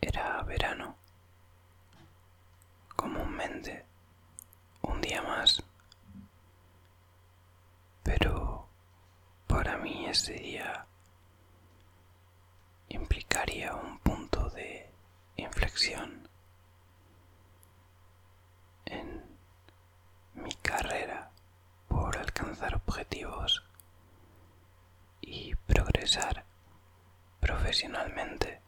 Era verano. Comúnmente un día más. Pero para mí ese día implicaría un punto de inflexión en mi carrera por alcanzar objetivos y progresar profesionalmente.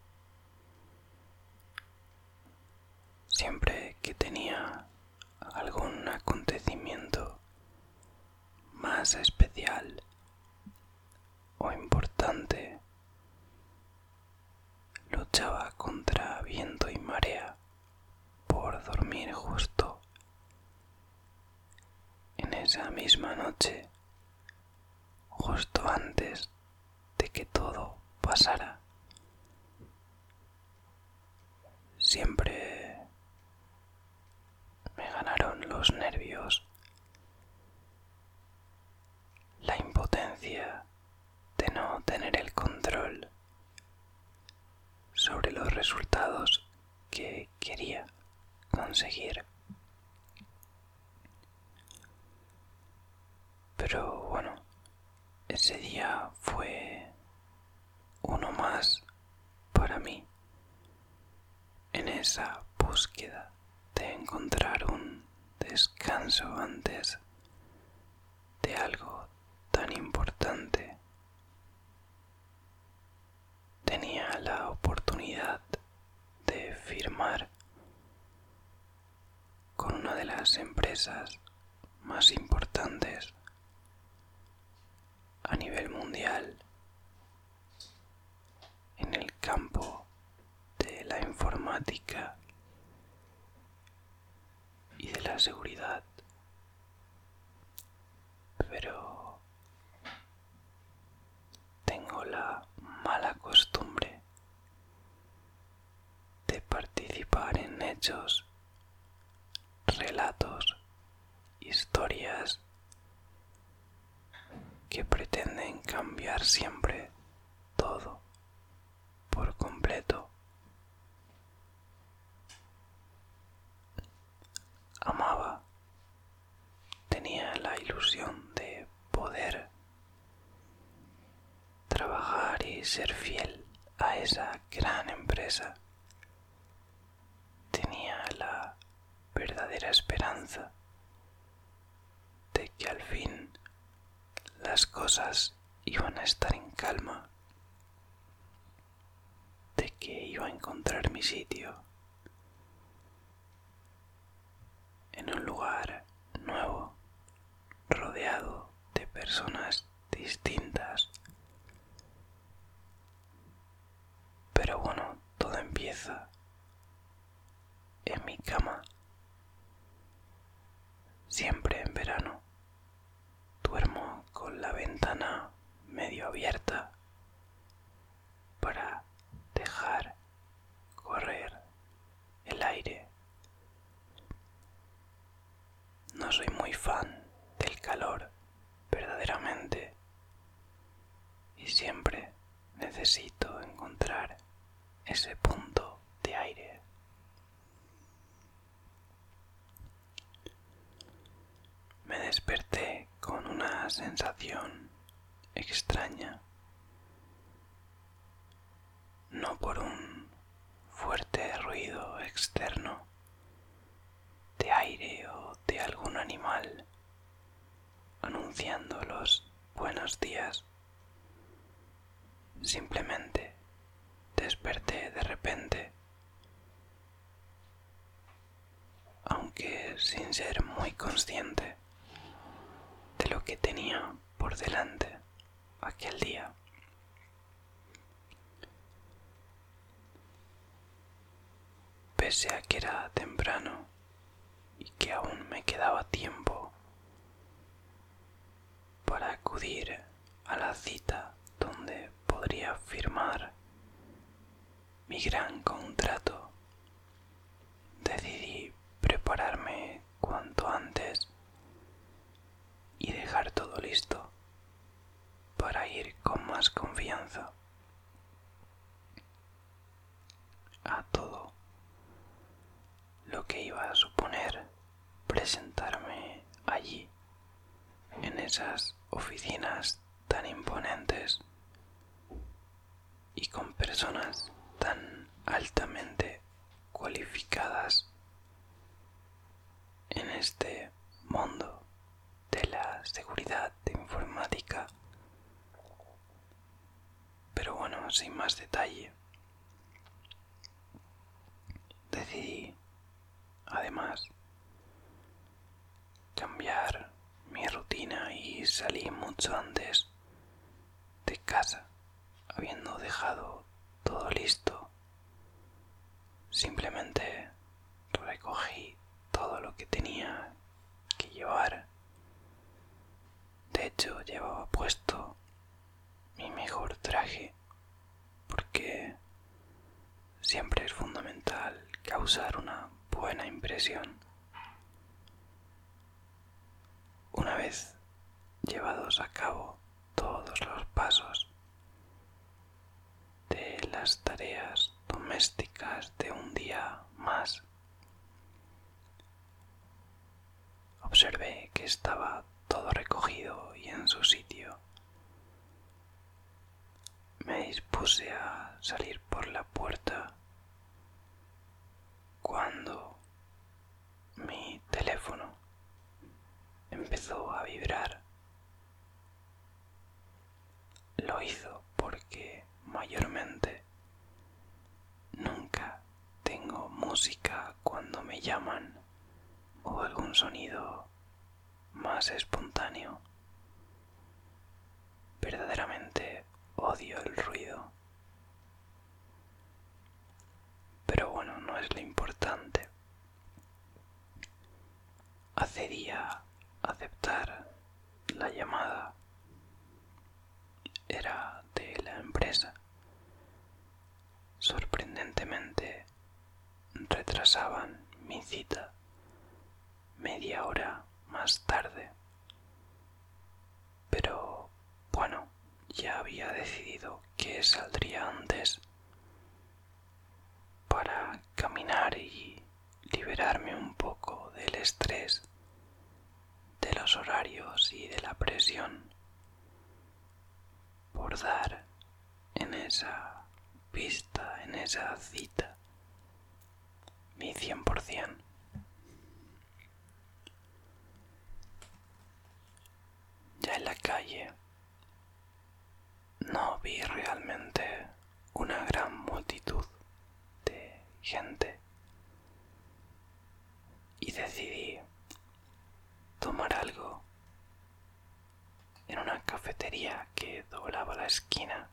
Siempre que tenía algún acontecimiento más especial o importante, luchaba contra viento y marea por dormir justo en esa misma noche, justo antes de que todo pasara, siempre me ganaron los nervios, la impotencia de no tener el control sobre los resultados que quería conseguir. Pero bueno, ese día fue uno más para mí en esa búsqueda de encontrar un descanso antes de algo tan importante tenía la oportunidad de firmar con una de las empresas más importantes a nivel mundial en el campo de la informática y de la seguridad. Pero tengo la mala costumbre de participar en hechos, relatos, historias que pretenden cambiar siempre todo por completo. Amaba tenía la ilusión de poder trabajar y ser fiel a esa gran empresa. Tenía la verdadera esperanza de que al fin las cosas iban a estar en calma, de que iba a encontrar mi sitio, en un lugar nuevo, rodeado de personas distintas. Pero bueno, todo empieza en mi cama, siempre en verano. Duermo con la ventana medio abierta para dejar correr el aire. No soy muy fan del calor, verdaderamente, y siempre necesito encontrar ese punto de aire. Me desperté con una sensación extraña, no por un fuerte ruido externo de aire o de algún animal anunciando los buenos días. Simplemente desperté de repente aunque sin ser muy consciente de lo que tenía por delante aquel día. Pese a que era temprano y que aún me quedaba tiempo para acudir a la cita donde podría firmar mi gran contrato. Decidí prepararme cuanto antes y dejar todo listo para ir con más confianza a todo lo que iba a suponer presentarme allí en esas oficinas tan imponentes y con personas tan altamente cualificadas en este mundo de la seguridad de informática. Pero bueno, sin más detalle, decidí además cambiar mi rutina y salí mucho antes de casa, habiendo dejado todo listo. Simplemente recogí todo lo que tenía que llevar. De hecho, llevaba puesto mi mejor traje, porque siempre es fundamental causar una buena impresión. Una vez llevados a cabo todos los pasos de las tareas domésticas de un día más, observé que estaba todo recogido y en su sitio. Me dispuse a salir por la puerta cuando mi teléfono empezó a vibrar. Lo hizo porque mayormente nunca tengo música cuando me llaman o algún sonido más espontáneo. Verdaderamente odio el ruido. Pero bueno, no es lo importante. hace día aceptar la llamada. Era de la empresa. Sorprendentemente, retrasaban mi cita media hora más tarde. Pero bueno, ya había decidido que saldría antes para caminar y liberarme un poco del estrés, de los horarios y de la presión por dar en esa pista, en esa cita, mi 100%. Ya en la calle no vi realmente una gran multitud de gente y decidí tomar algo en una cafetería que doblaba la esquina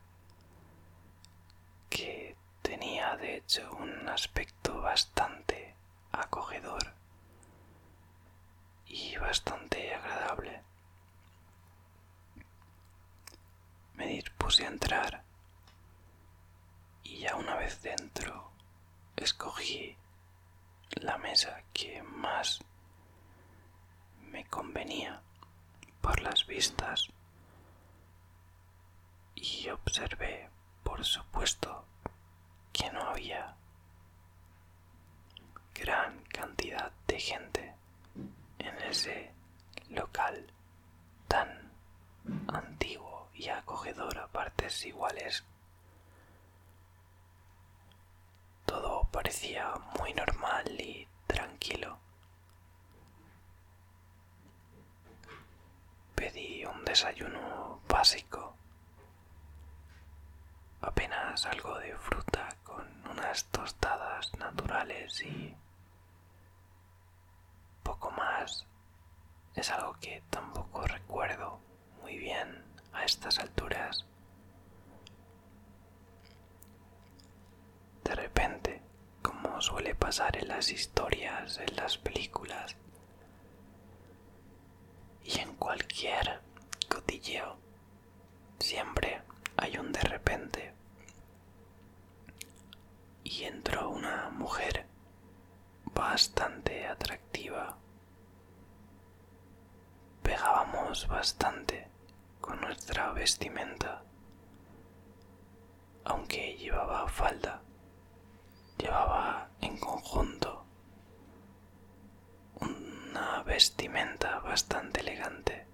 que Tenía de hecho un aspecto bastante acogedor y bastante agradable. Me dispuse a entrar y ya una vez dentro escogí la mesa que más me convenía por las vistas y observé, por supuesto, que no había gran cantidad de gente en ese local tan antiguo y acogedor a partes iguales. Todo parecía muy normal y tranquilo Pedí un desayuno básico, apenas algo de fruta con unas tostadas naturales y poco más. Es algo que tampoco recuerdo muy bien a estas alturas. De repente como suele pasar en las historias, en las películas y en cualquier cotilleo. Siempre hay un de repente. Y entró una mujer bastante atractiva. Pegábamos bastante con nuestra vestimenta aunque llevaba falda, llevaba en conjunto una vestimenta bastante elegante,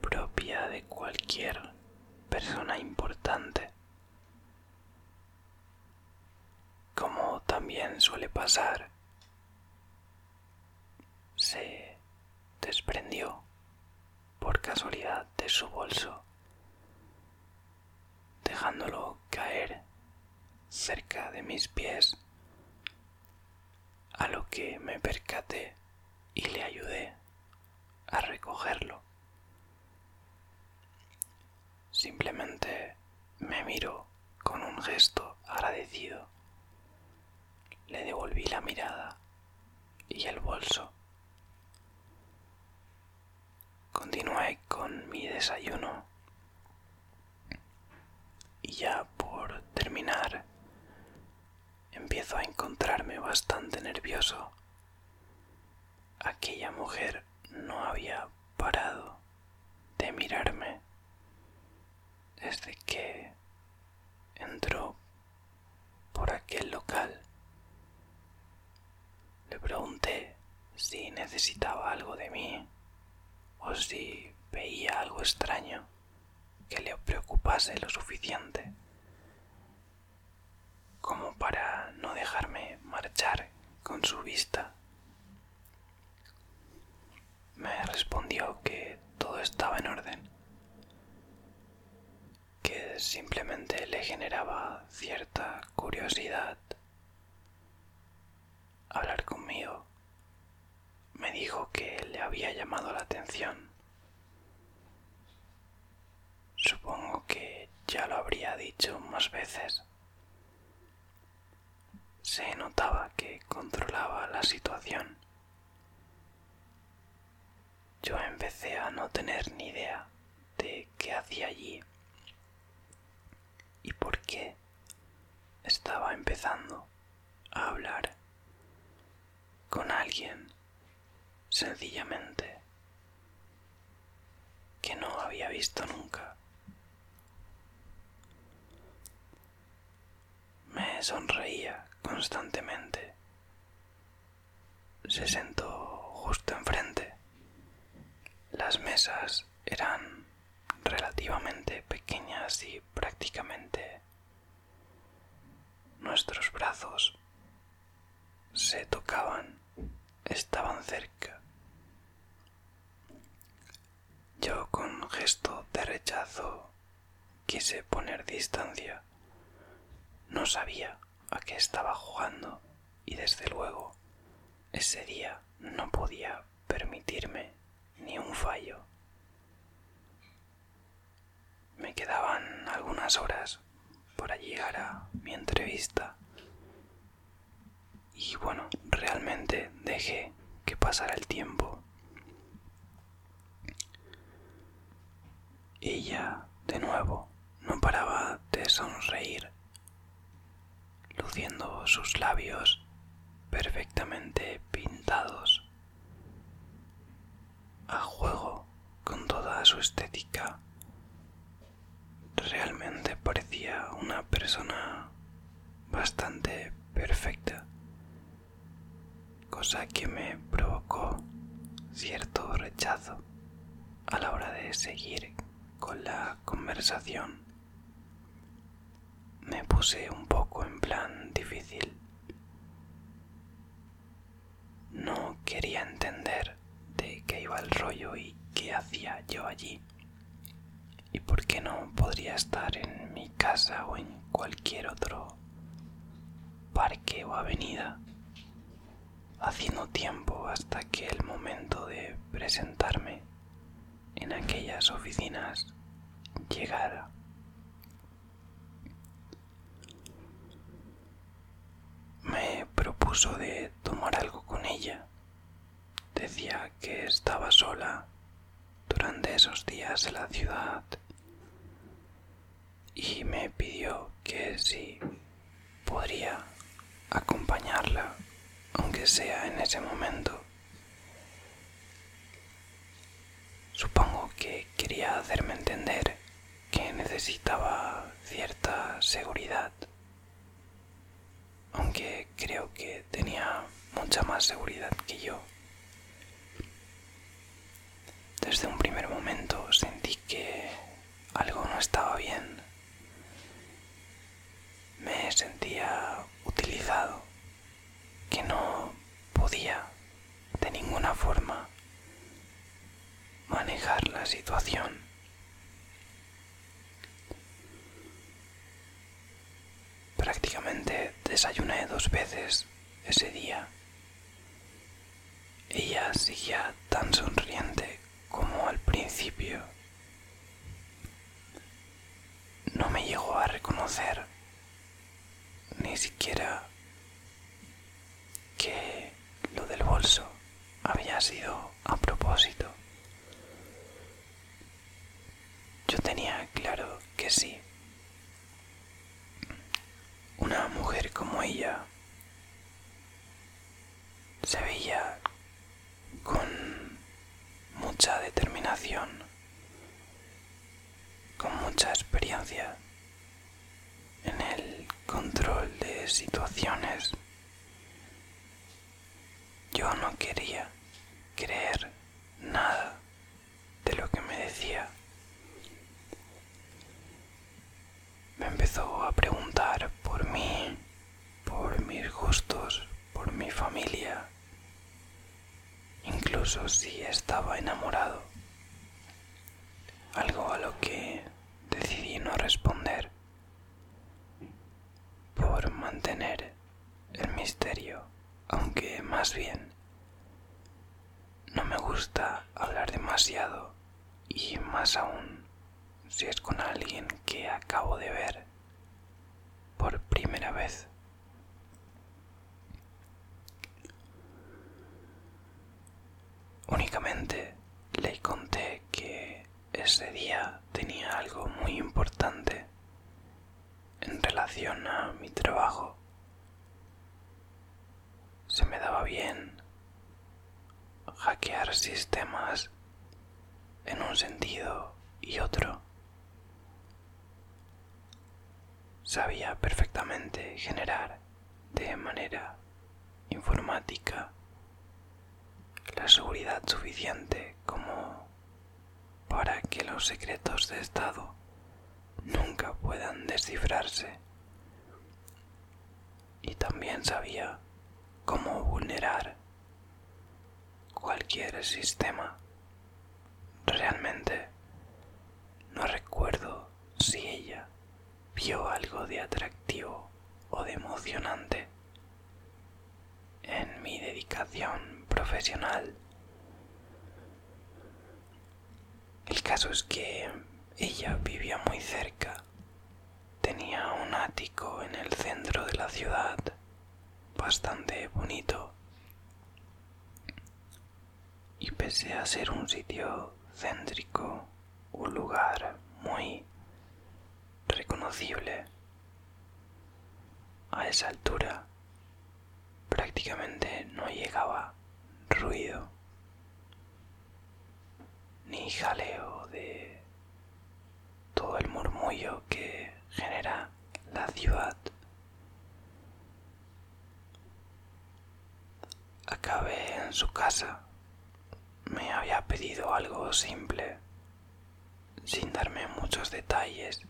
propia de cualquier persona importante. Como también suele pasar, se desprendió por casualidad de su bolso, dejándolo caer cerca de mis pies, a lo que me percaté y le ayudé a recogerlo. Simplemente me miró con un gesto agradecido. Le devolví la mirada y el bolso Continué con mi desayuno y ya por terminar empiezo a encontrarme bastante nervioso. Aquella mujer no había parado de mirarme desde que entró por aquel local. Le pregunté si necesitaba algo de mí o si veía algo extraño que le preocupase lo suficiente como para no dejarme marchar con su vista. Me respondió que todo estaba en orden que simplemente le generaba cierta curiosidad hablar conmigo. Me dijo que le había llamado la atención. Supongo que ya lo habría dicho más veces. Se notaba que controlaba la situación yo empecé a no tener ni idea de qué hacía allí y por qué estaba empezando a hablar con alguien sencillamente que no había visto nunca. Me sonreía constantemente se sentó justo enfrente. Las mesas eran relativamente pequeñas y prácticamente nuestros brazos se tocaban, estaban cerca. Yo con gesto de rechazo quise poner distancia. No sabía a qué estaba jugando y desde luego ese día no podía permitirme ni un fallo. Me quedaban algunas horas para llegar a mi entrevista y bueno, realmente dejé que pasara el tiempo. Ella, de nuevo, no paraba de sonreír, luciendo sus labios perfectamente pintados, a juego con toda su estética. Realmente parecía una persona bastante perfecta, cosa que me provocó cierto rechazo a la hora de seguir con la conversación me puse un poco en plan difícil. No quería entender de qué iba el rollo y qué hacía yo allí. Y por qué no podría estar en mi casa o en cualquier otro parque o avenida haciendo tiempo hasta que el momento de presentarme en aquellas oficinas llegara. Me propuso de tomar algo con ella. Decía que estaba sola durante esos días en la ciudad y me pidió que si podría acompañarla, aunque sea en ese momento. Supongo que quería hacerme entender que necesitaba cierta seguridad, aunque creo que tenía mucha más seguridad que yo. Desde un primer momento sentí que algo no estaba bien. Me sentía utilizado, que no podía de ninguna forma manejar la situación. Prácticamente desayuné dos veces ese día ella seguía tan sonriente como al principio. No me llegó a reconocer ni siquiera que lo del bolso había sido a propósito. Yo tenía claro que sí. Una mujer como ella se veía con mucha determinación, con mucha experiencia en el control de situaciones. Yo no quería creer nada de lo que me decía me empezó a preguntar por mí, por mis gustos, por mi familia, incluso si estaba enamorado. Algo a lo que decidí no responder por mantener el misterio, aunque más bien no me gusta hablar demasiado y más aún si es con alguien que acabo de ver por primera vez. Únicamente le conté que ese día tenía algo muy importante en relación a mi trabajo se me daba bien hackear sistemas en un sentido y otro. Sabía perfectamente generar de manera informática la seguridad suficiente como para que los secretos de Estado nunca puedan descifrarse y también sabía cómo vulnerar cualquier sistema. Realmente no recuerdo si ella vio algo de atractivo o de emocionante en mi dedicación profesional. El caso es que ella vivía muy cerca Tenía un ático en el centro de la ciudad, bastante bonito. Y pese a ser un sitio céntrico, un lugar muy reconocible, a esa altura prácticamente no llegaba ruido ni jaleo de todo el murmullo que genera la ciudad. Acabé en su casa. Me había pedido algo simple, sin darme muchos detalles.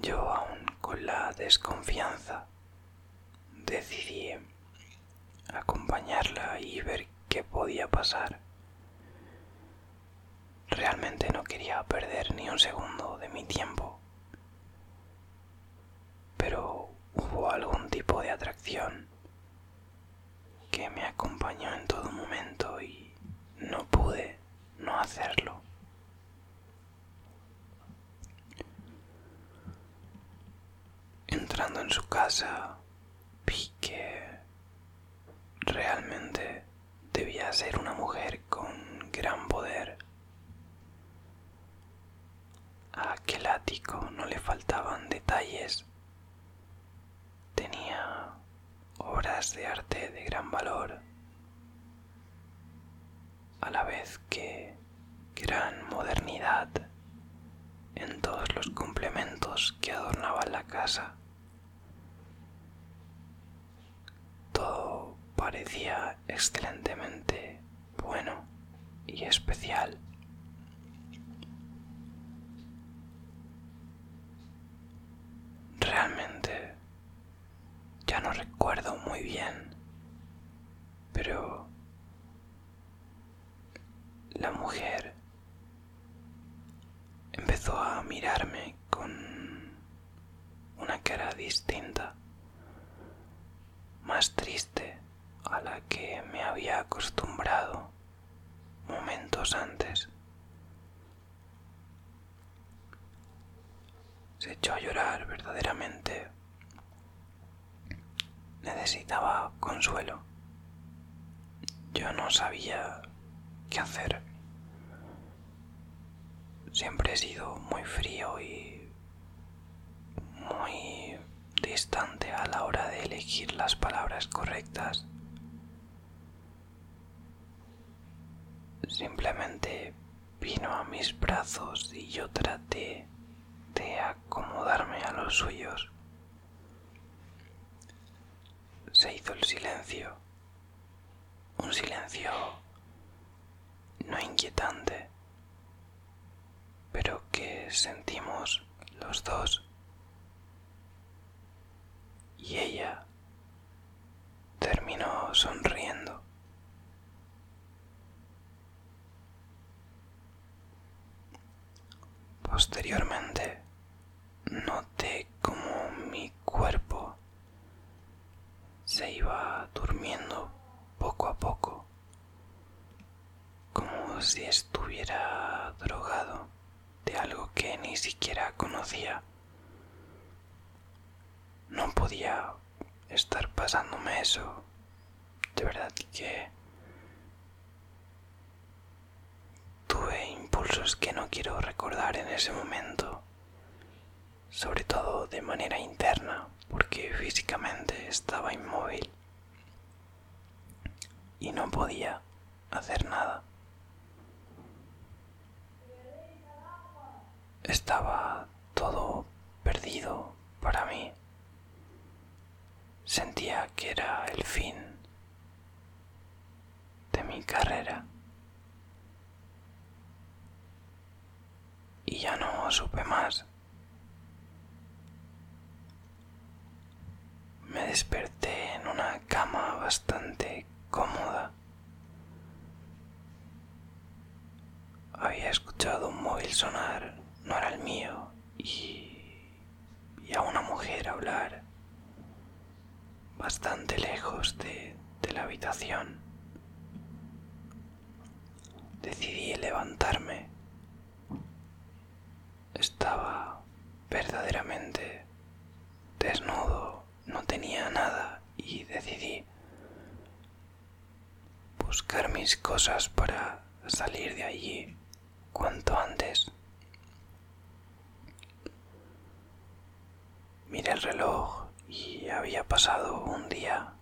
Yo aún con la desconfianza decidí acompañarla y ver qué podía pasar. Realmente no quería perder ni un segundo de mi tiempo, pero hubo algún tipo de atracción que me acompañó en todo momento y no pude no hacerlo. Entrando en su casa, vi que realmente debía ser una mujer con gran poder. aquel ático no le faltaban detalles. Tenía obras de arte de gran valor, a la vez que gran modernidad en todos los complementos que adornaban la casa. Todo parecía excelentemente bueno y especial. Realmente ya no recuerdo muy bien, pero la mujer empezó a mirarme con una cara distinta, más triste a la que me había acostumbrado momentos antes. Se echó a llorar verdaderamente necesitaba consuelo. Yo no sabía qué hacer. Siempre he sido muy frío y muy distante a la hora de elegir las palabras correctas. Simplemente vino a mis brazos y yo traté de acomodarme a los suyos. Se hizo el silencio, un silencio no inquietante, pero que sentimos los dos. Y ella terminó sonriendo. Posteriormente, noté como mi cuerpo se iba durmiendo poco a poco, como si estuviera drogado de algo que ni siquiera conocía. No podía estar pasándome eso de verdad que tuve impulsos que no quiero recordar en ese momento, sobre todo de manera interna, porque físicamente estaba inmóvil y no podía hacer nada. Estaba todo perdido para mí. Sentía que era el fin de mi carrera. Y ya no supe más. Me desperté en una cama bastante cómoda. Había escuchado un móvil sonar, no era el mío, y y a una mujer hablar bastante lejos de, la habitación. Decidí levantarme. Estaba verdaderamente desnudo, no tenía nada y decidí buscar mis cosas para salir de allí cuanto antes. Miré el reloj y había pasado un día,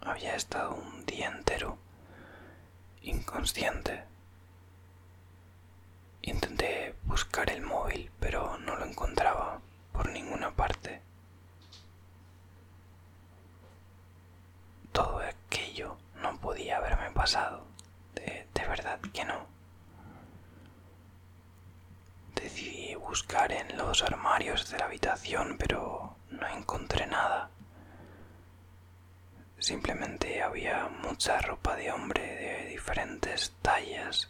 había estado un día entero inconsciente. Intenté buscar el móvil, pero no lo encontraba por ninguna parte todo aquello no podía haberme pasado. De, verdad que no. Decidí buscar en los armarios de la habitación, pero no encontré nada. Simplemente había mucha ropa de hombre de diferentes tallas.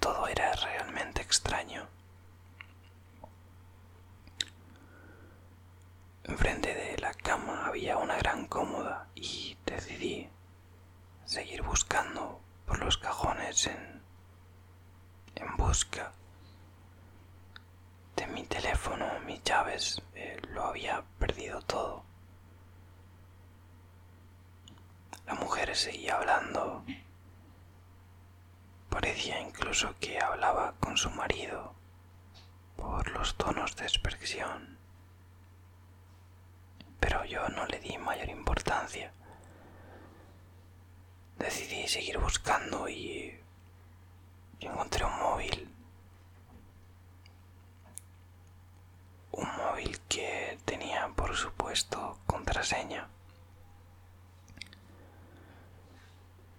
Todo era realmente extraño. Enfrente de la cama había una gran cómoda y decidí seguir buscando por los cajones en, busca de mi teléfono, mis llaves, eh, lo había perdido todo. La mujer seguía hablando Parecía incluso que hablaba con su marido por los tonos de expresión. Pero yo no le di mayor importancia. Decidí seguir buscando y encontré un móvil. Un móvil que tenía, por supuesto, contraseña.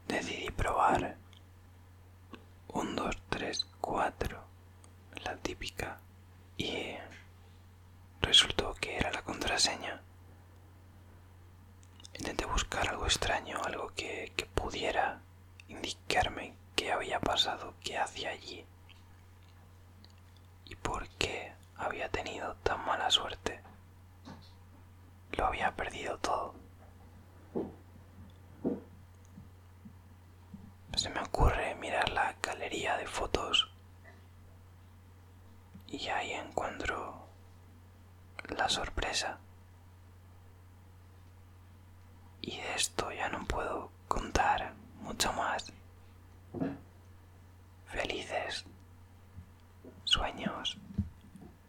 Decidí probar 1, 2, 3, 4, la típica, y resultó que era la contraseña. Intenté buscar algo extraño, algo que, pudiera indicarme qué había pasado, qué hacía allí y por qué había tenido tan mala suerte. Lo había perdido todo. Se me ocurre mirar la galería de fotos y ahí encuentro la sorpresa. Y de esto ya no puedo contar mucho más. Felices sueños.